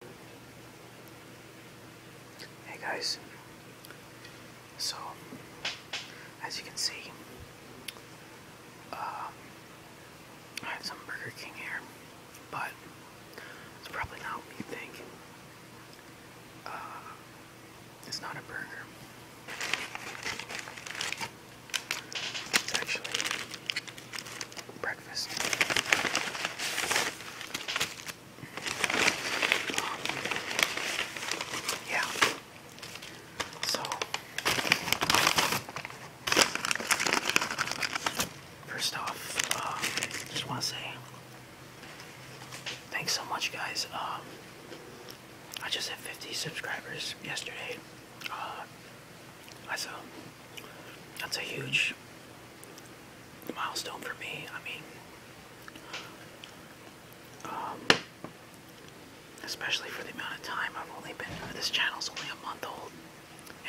Hey guys, so as you can see, um, I have some Burger King here, but it's probably not what you think. Uh, it's not a burger. It's actually breakfast yeah. So first off, um, just want to say thanks so much, guys. Um, I just hit 50 subscribers yesterday. Uh, that's that's a huge milestone for me. I mean, um, especially for the amount of time I've only been. Uh, this channel is only a month old,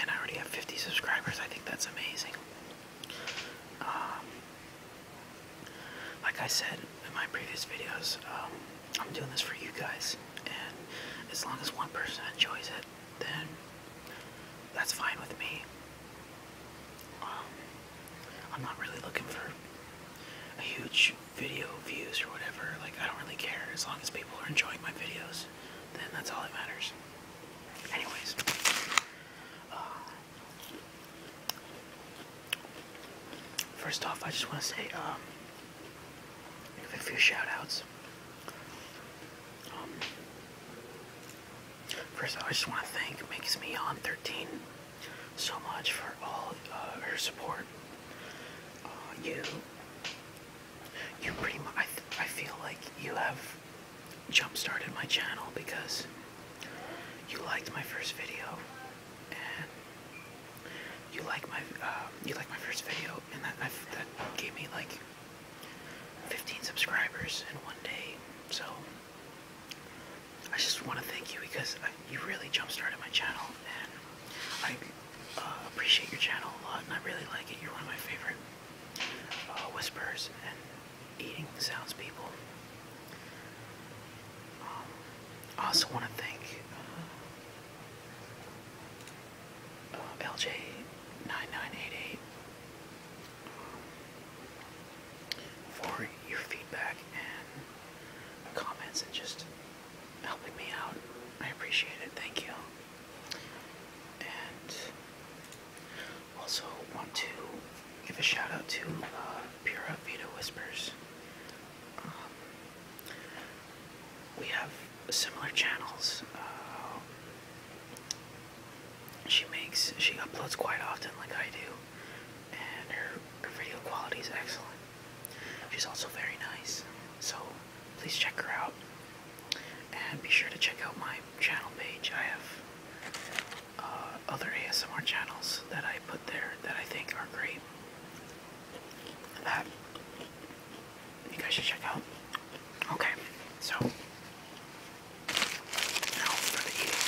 and I already have 50 subscribers. I think that's amazing. Um, like I said in my previous videos, um, I'm doing this for you guys, and as long as one person enjoys it then that's fine with me. Um, I'm not really looking for a huge video views or whatever. Like, I don't really care. As long as people are enjoying my videos, then that's all that matters. Anyways. Uh, first off, I just want to say, um, a few shoutouts. Um, First, I just want to thank Makes Me On 13 so much for all uh, her support. Uh, you, you pretty much, I, feel like you have jump started my channel because you liked my first video and you liked my uh, you like my first video and that gave me like 15 subscribers in one day. So I just want to thank you because uh, you really jump-started my channel, and I uh, appreciate your channel a lot, and I really like it. You're one of my favorite uh, whispers and eating sounds people. Um, I also want to thank LJ9988 for your feedback and comments and just helping me out. I appreciate it. Thank you. And also want to give a shout out to uh, Vita Whispers. Um, we have similar channels. Uh, she makes she uploads quite often like I do and her, video quality is excellent. She's also very nice. So please check her out and be sure to check out my channel page. I have uh, other ASMR channels that I put there that I think are great. That you guys should check out. Okay, so now for the eating.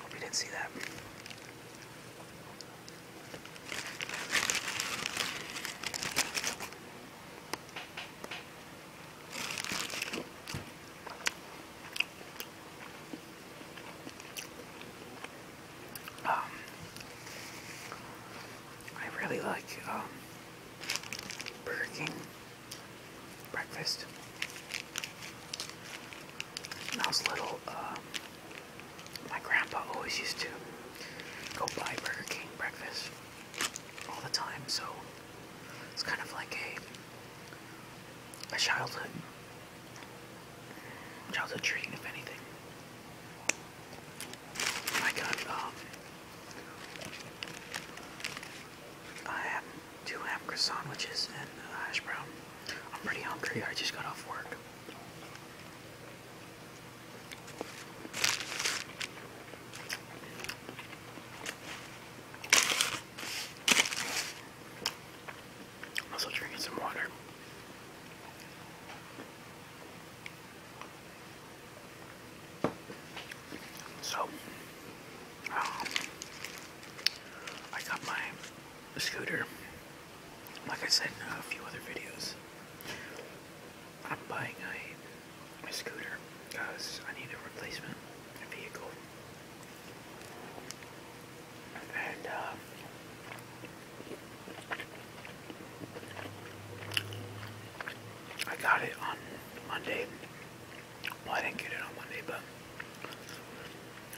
Hope you didn't see that. Um, I really like um, Burger King breakfast. When I was little, um, my grandpa always used to go buy Burger King breakfast all the time, so it's kind of like a a childhood Childhood treat, if anything. I got, um, I have two ham croissant and hash brown. I'm pretty hungry, I just got off work. I'm also drinking some water. So, um, I got my scooter, like I said in a few other videos. I'm buying a, a scooter because I need a replacement vehicle. And, uh, I got it on Monday. Well, I didn't get it on Monday, but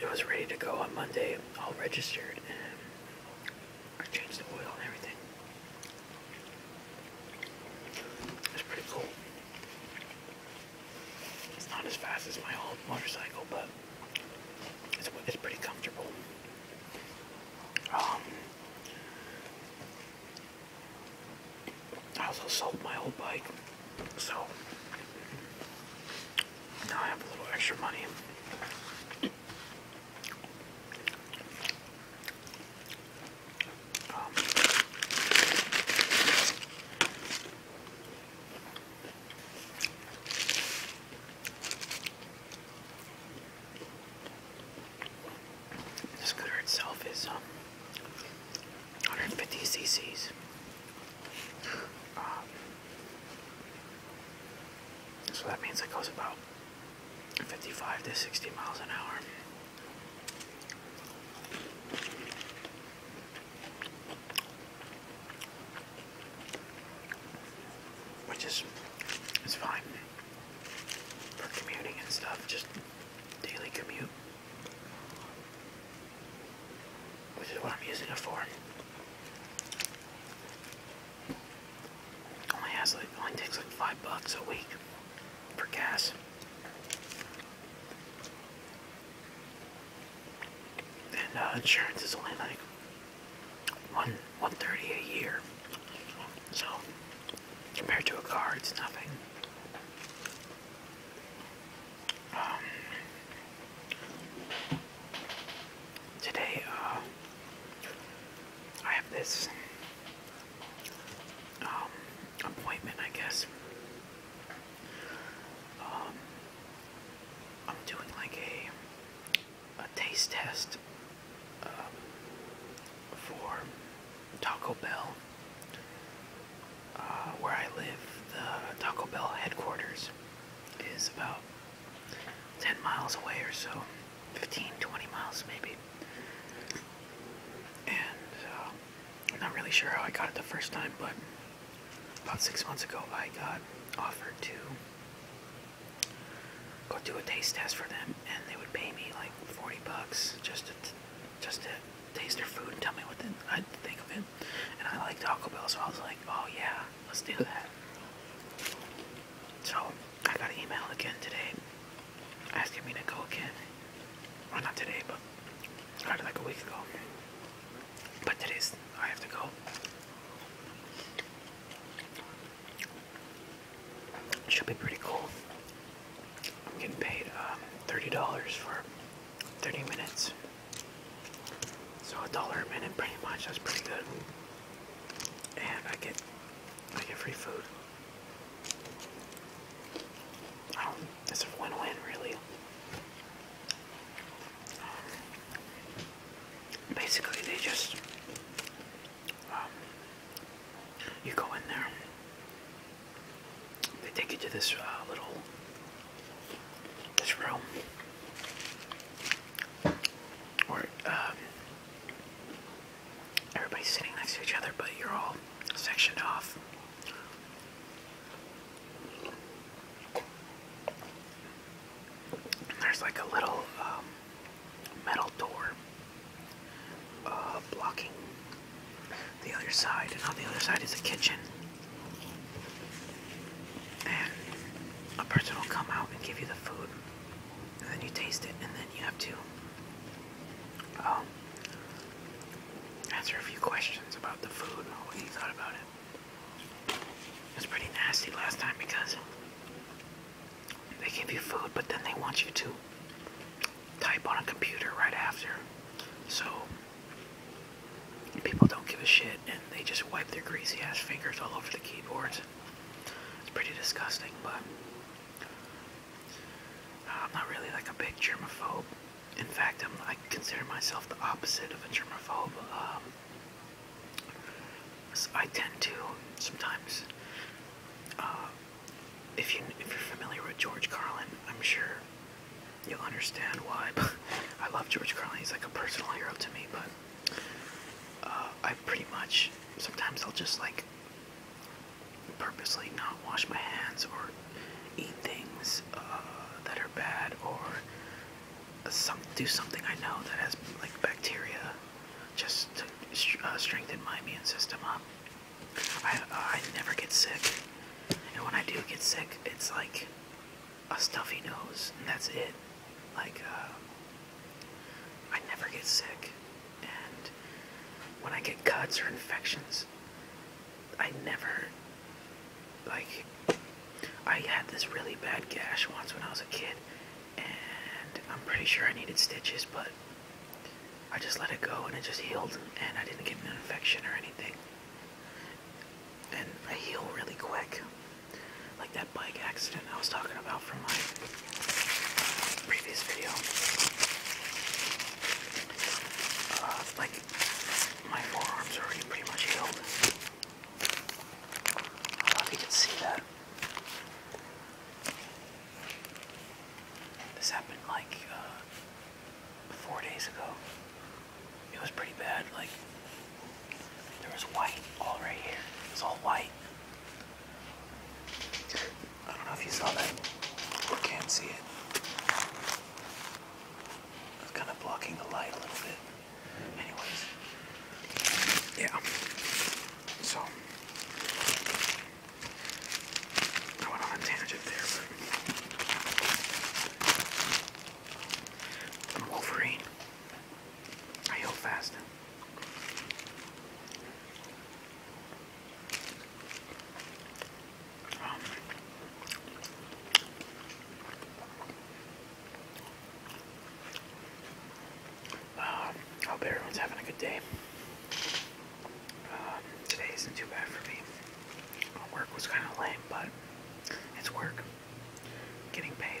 it was ready to go on Monday, all registered, and I changed the oil and everything. It's pretty cool. It's not as fast as my old motorcycle, but it's, pretty comfortable. Um, I also sold my old bike, so now I have a little extra money. Um, this glitter itself is 150 um, cc's. Um, so that means it goes about 55 to 60 miles an hour. Which is it's fine for commuting and stuff, just daily commute. Which is what I'm using it for. Only has like only takes like five bucks a week for gas. And uh, insurance is only like one 130 a year. So compared to a car, it's nothing. Um, today, uh, I have this um, appointment, I guess. Um, I'm doing like a a taste test um, for Taco Bell, uh, where I live. The Taco Bell headquarters is about 10 miles away or so, 15, 20 miles maybe. And uh, not really sure how I got it the first time, but about six months ago I got offered to go do a taste test for them, and they would pay me like 40 bucks just to just to taste their food and tell me what the, I think of it. And I like Taco Bell, so I was like, oh yeah, let's do that. So I got an email again today asking me to go again. Well, not today, but started like a week ago. But today's I have to go. Should be pretty cool. I'm getting paid um, $30 for 30 minutes. So a dollar a minute pretty much, that's pretty good. And I get I get free food. Um, it's a win-win really. Um, basically they just um, you go in there they take you to this uh, little this room where um, everybody's sitting next to each other but you're all sectioned off and there's like a little um, metal door uh, blocking the other side, and on the other side is a kitchen. And a person will come out and give you the food, and then you taste it, and then you have to um, answer a few questions about the food and what you thought about it. It's pretty nasty last time because they give you food, but then they want you to type on a computer right after. So people don't give a shit and they just wipe their greasy ass fingers all over the keyboards. It's pretty disgusting, but uh, I'm not really like a big germaphobe. In fact, i consider myself the opposite of a germaphobe. Um, I tend to sometimes, uh, if you if you're familiar with George Carlin, I'm sure you'll understand why. But I love George Carlin; he's like a personal hero to me. But uh, I pretty much sometimes I'll just like purposely not wash my hands or eat things uh, that are bad or do something I know that has like bacteria, just to uh, strengthen my immune system up. I I never get sick, and when I do get sick, it's like a stuffy nose, and that's it. Like uh, I never get sick, and when I get cuts or infections, I never like. I had this really bad gash once when I was a kid, and I'm pretty sure I needed stitches, but I just let it go and it just healed, and I didn't get an infection or anything. And I heal really quick, like that bike accident I was talking about from my previous video. Uh, like, my forearm's already pretty much healed. I don't know if you can see that. This happened like uh, four days ago. It was pretty bad. Like there was white all right here. It was all white. I don't know if you saw that. I can't see it. It's kind of blocking the light a little bit. Anyways, yeah. So I went on a tangent there, Wolverine. I heal fast. Um. Um, I hope everyone's having a good day. Um, today isn't too bad for me. Work was kind of lame, but it's work. Getting paid.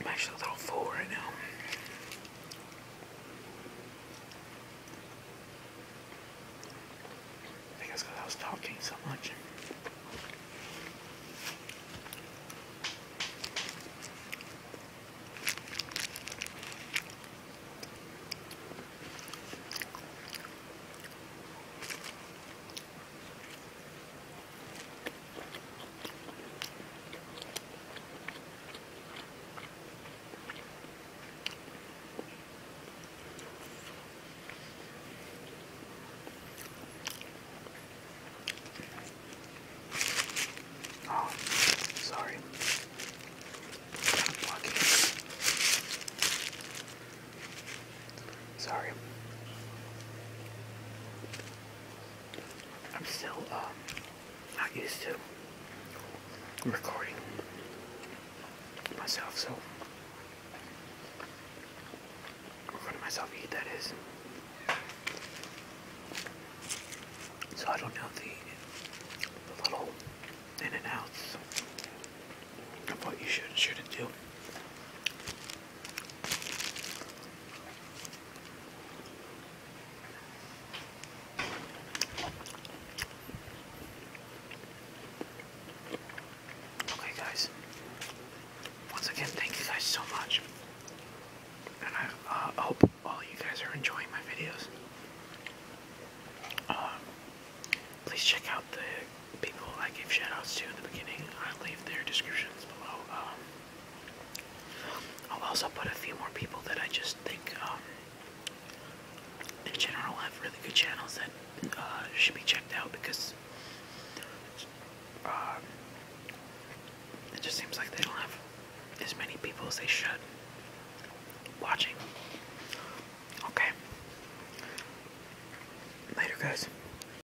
I'm actually a little full right now. I think I was talking so much. Oh, sorry. I'm Sorry. I'm still um, not used to recording myself, so recording myself eat that is. So I don't know the, the little in and outs of what you should and shouldn't do. Okay guys, once again thank you guys so much. And I uh, hope all you guys are enjoying my videos. Uh, please check out the people I gave shoutouts to in the beginning. i leave their description below. Um, I'll also put a few more people that I just think, um, in general, have really good channels that uh, should be checked out because um, it just seems like they don't have as many people as they should watching. Okay. Later, guys.